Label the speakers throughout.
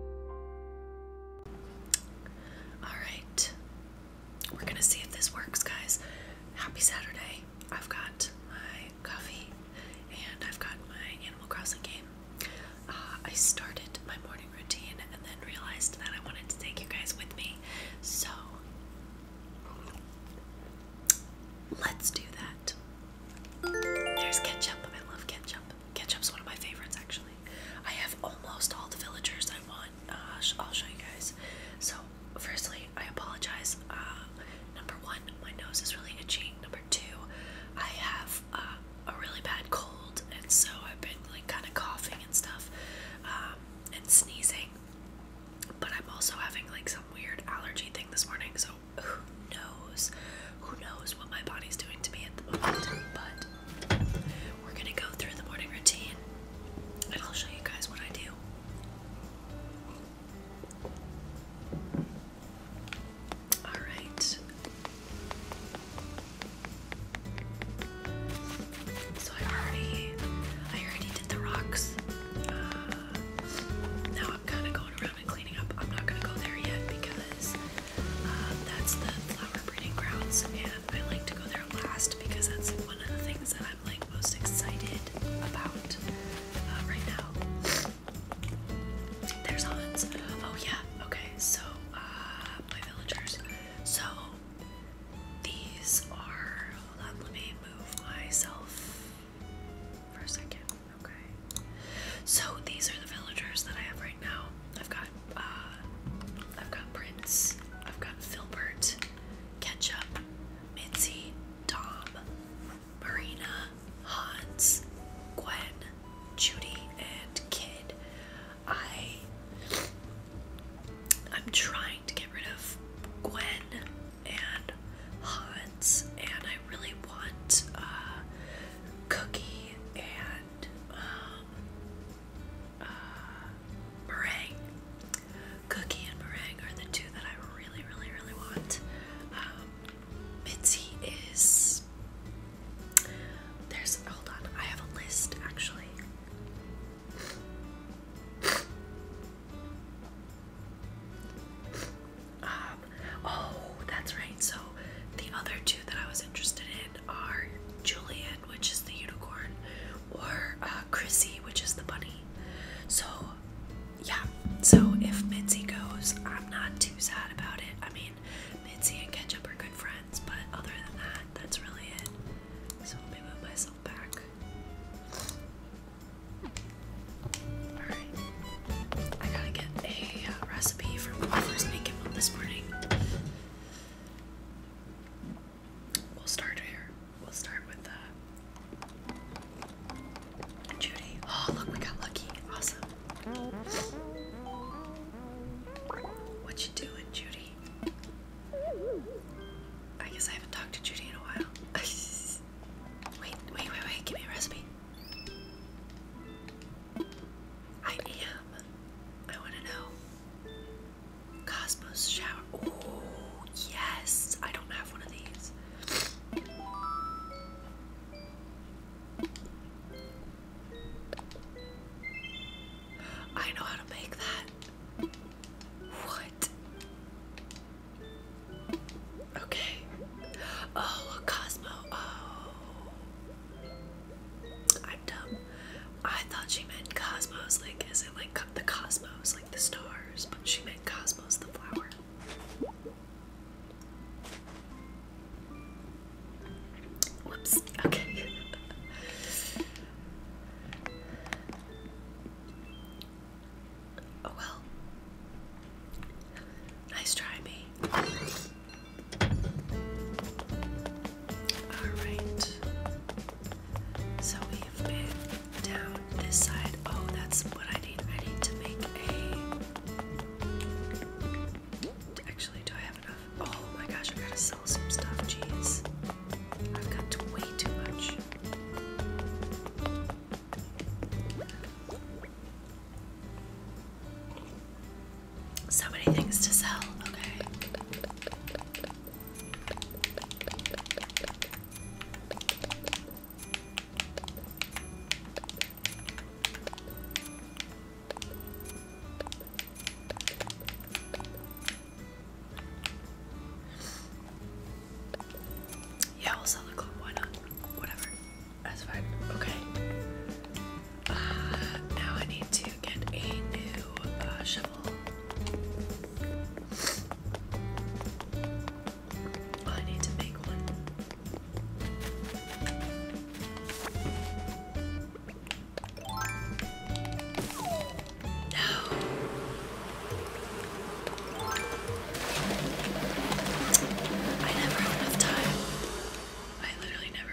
Speaker 1: Alright. We're gonna see if this works, guys. Happy Saturday. I've got my coffee and I've got my Animal Crossing game. Uh, I started my morning routine and then realized that I wanted to take you guys with me. So let's do that. There's ketchup. I love ketchup. Ketchup's one of my favorites, actually. I have almost all the villagers I want. Uh, I'll show you guys. So, firstly, I apologize. Uh, number one, my nose is really itchy. Number two, I have uh, a really bad cold, and so I've been like kind of coughing and stuff, um, and sneezing. But I'm also having like some weird allergy thing this morning, so who knows? Who knows what my body's doing to me at the moment, but we're gonna go through the morning routine and I'll show you guys what I do. Alright. So I already I already did the rocks. Uh, now I'm kinda going around and cleaning up. I'm not gonna go there yet because um, that's the flower breeding grounds, and I like to go there last because that's one of the things that I'm like most excited about uh, right now. There's Hans. Oh yeah. Okay. So uh, my villagers. So these are. Let me move myself for a second. Okay. So these are the villagers that I have right now. I've got uh, I've got Prince, I've got Filbert, Ketchup, Mitzi, Tom, Marina, Hans, Gwen, Judy, and Kid. I I'm trying to get rid of Gwen and Hans, and I really want uh, Cookie and uh, uh, meringue. Cookie and meringue are the two that I really, really, really want. Um, Mitzi is. There's. Hold on, I have a list actually. Um, oh, that's right. So the other two that I was interested in are Julian, which is the unicorn, or uh, Chrissy, which is the bunny. So, yeah. So if Mitzi goes, I'm not too sad about it. I mean, Mitzi and Ketchup are good friends, but other than that, that's really it. So let me move myself back. Alright. I gotta get a uh, recipe for waffles making up this morning. We'll start here. We'll start with uh, Judy. Oh, look, we got lucky. Awesome. What you doing, Judy? I guess I haven't talked to Judy in a while. wait, wait, wait, wait. Give me a recipe. I am. I want to know. Cosmos shower. Oh, yes. I don't have one of these. I know how to make that. What? Okay. Oh, a Cosmo. Oh. I'm dumb. I thought she meant cosmos, like is it like the cosmos, like the stars, but she meant cosmos, the flower. Whoops. Okay. oh well. Nice try, me. Alright. So we've been down this side. Oh, that's what I need. I need to make a. Actually, do I have enough? Oh my gosh, I gotta sell some stuff. Jeez. I've got way too much. So many things to sell, okay? Yeah, we'll sell the club. Why not? Whatever. That's fine. Okay. Uh, now I need to get a new uh, shovel. I need to make one. No. I never have enough time. I literally never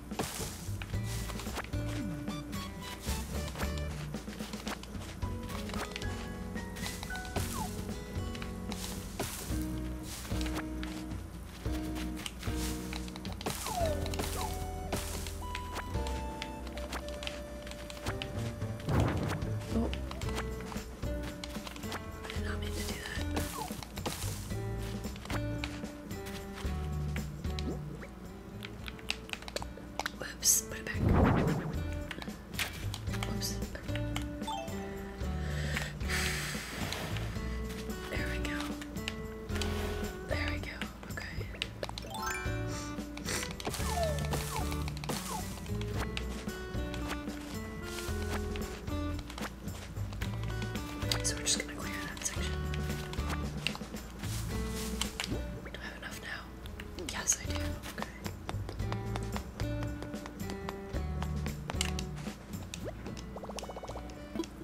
Speaker 1: I meant to do that. Oops. put it back. Whoops. There we go. There we go. Okay. So we're just gonna clear that section. Do I have enough now? Yes, I do. Okay.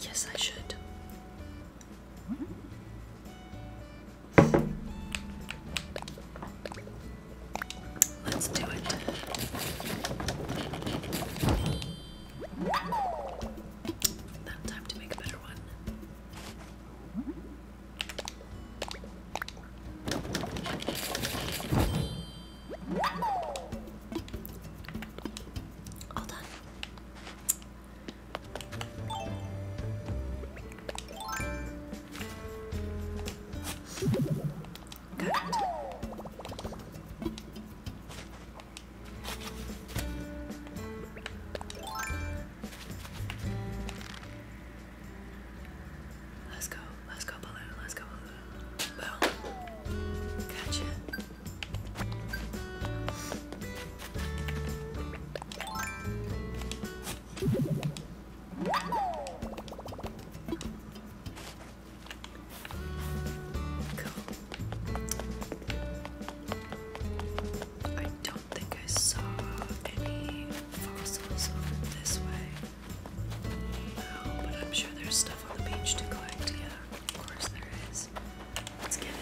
Speaker 1: Yes, I should. Let's do it. Now time to make a better one. All done. Good. Let's go, let's go balloon, let's go balloon. Boom. Gotcha. I don't think I saw any fossils over this way. No, but I'm sure there's stuff on the beach to collect. Yeah, of course there is. Let's get it.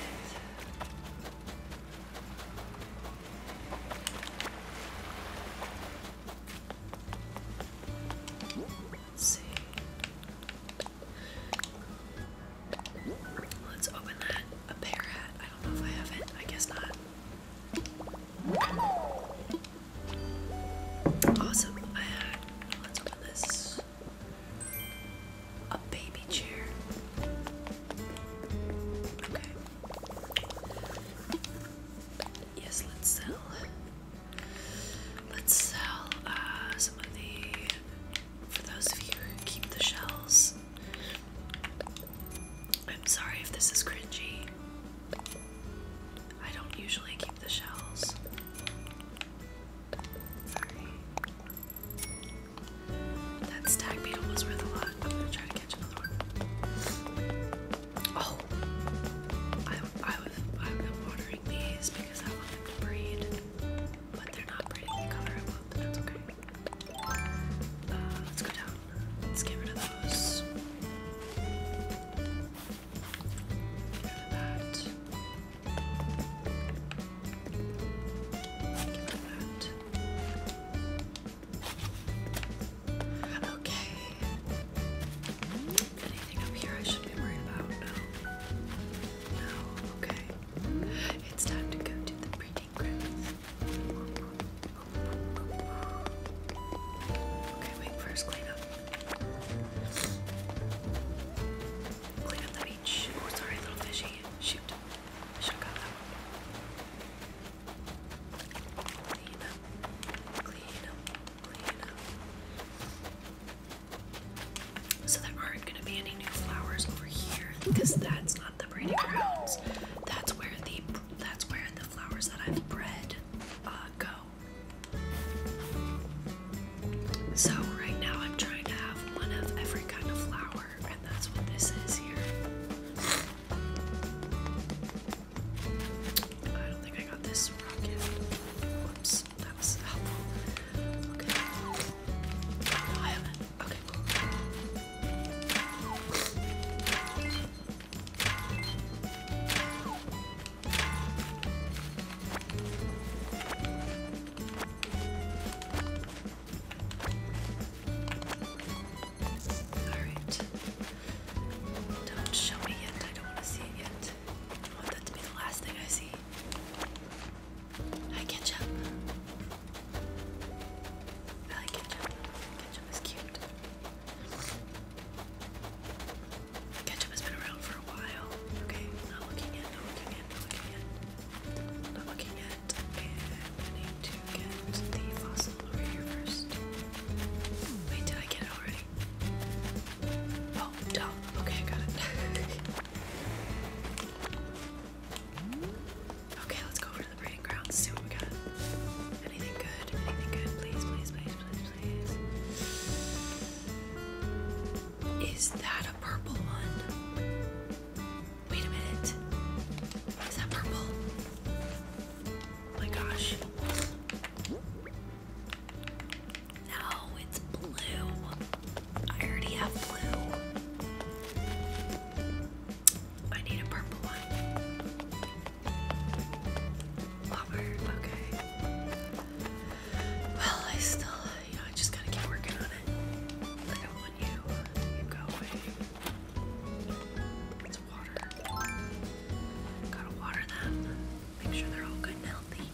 Speaker 1: see. Let's open that. A bear hat. I don't know if I have it. I guess not. Awesome. Let's open this. A baby chair. Okay. Yes, let's sell. Let's sell uh, some of the for those of you who keep the shells. I'm sorry if this is cringy. I don't usually keep the shells. That stag beetle was worth a lot. Oh! I was, I've been watering these because I want them to breed but they not uh, let's go down. Let's get rid of those. Get rid of that. Okay. Anything up here I should be worried about? No. No, okay. It's time to go to the breeding grounds. Okay, wait, first clean Clean up the beach. Oh, sorry, little fishy. Shoot. I so there aren't going to be any new flowers over here because that's not the breeding grounds. That's where the that's where the flowers that I've bred uh, go. So right now I'm trying to have one of every kind of flower, and that's what this is here. I don't think I got this rocket. Whoops that was helpful. Okay. Alright. Don't show me yet. I don't want to see it yet. I want that to be the last thing I see. I ketchup. I like ketchup. Ketchup is cute. Ketchup has been around for a while. Okay, not looking at, not looking at, not looking at, not looking at. And I need to get the fossil over here first. Wait, did I get it already? Oh, dumb. Okay, I got it. Okay, let's go over to the breeding grounds, see what we got. Anything good? Anything good? Please, please, please, please, please. Is that a purple one? Wait a minute. Is that purple? Oh my gosh. No, it's blue. I already have blue. I need a purple one. okay. Well, I still, you I just gotta keep working on it. I don't want you. You go away. It's water. Gotta water them. Make sure they're all good and healthy.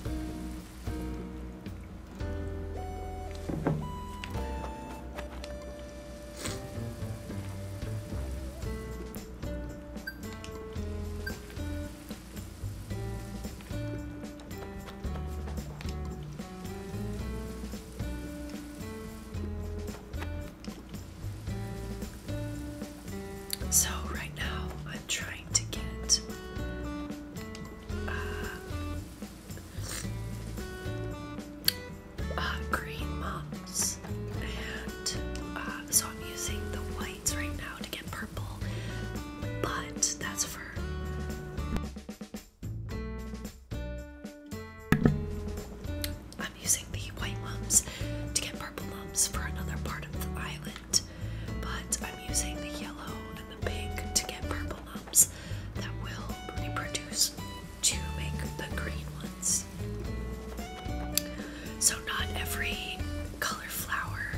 Speaker 1: So, right now, I'm trying to get uh, uh, green mums, and uh, so I'm using the whites right now to get purple, but that's for. I'm using the white mums to get purple mums for another part of the island, but I'm using the yellow the pink to get purple ones that will reproduce to make the green ones. So, not every color flower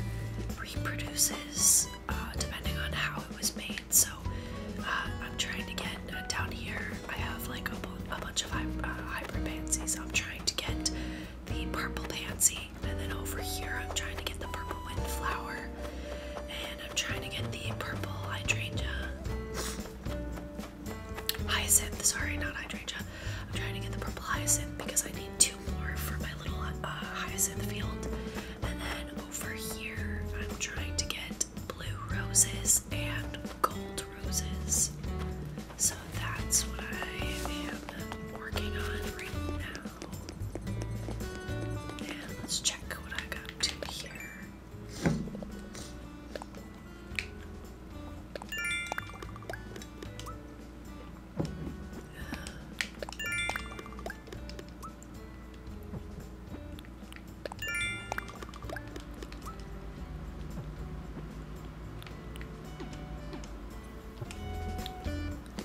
Speaker 1: reproduces uh, depending on how it was made. So, uh, I'm trying to get uh, down here, I have like a, bunch of uh, hybrid I'm trying to get the purple pansy, and then over here, I'm trying to get the purple wind flower. I'm trying to get the purple hydrangea. Hyacinth, sorry, not hydrangea. I'm trying to get the purple hyacinth because I need two more for my little uh, hyacinth field. And then over here, I'm trying to get blue roses and gold roses. So that's what I am working on right now. Let's check what I got to here.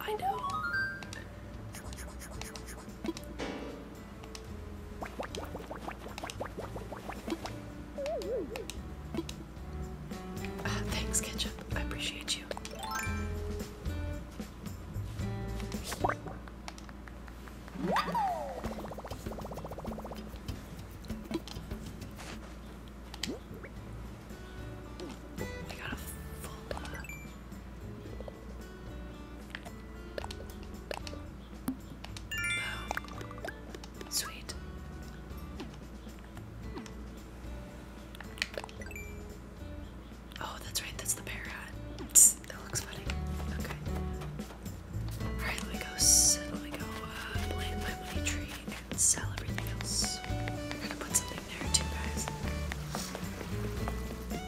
Speaker 1: I know. Ah, thanks, Ketchup. I appreciate you. We got a full Sweet. Oh, that's right, that's the bear hat. that looks funny. Okay. Alright, let me go, uh, sell everything else. We're gonna put something there too, guys.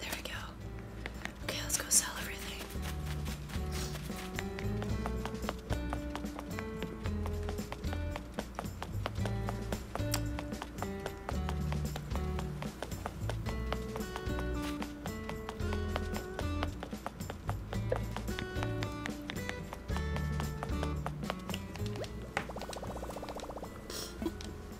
Speaker 1: There we go. Okay, let's go sell everything.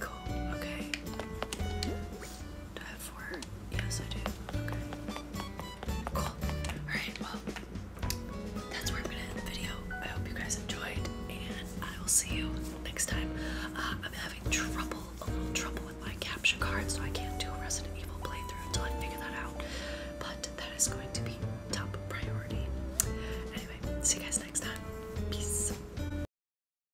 Speaker 1: Cool, okay. Do I have four? Yes, I do. Okay. Cool. Alright, well, that's where I'm gonna end the video. I hope you guys enjoyed, and I will see you next time. Uh, I'm having trouble, a little trouble with my capture card, so I can't do Resident Evil playthrough until I figure that out. But that is going to be top priority. Anyway, see you guys next time. Peace.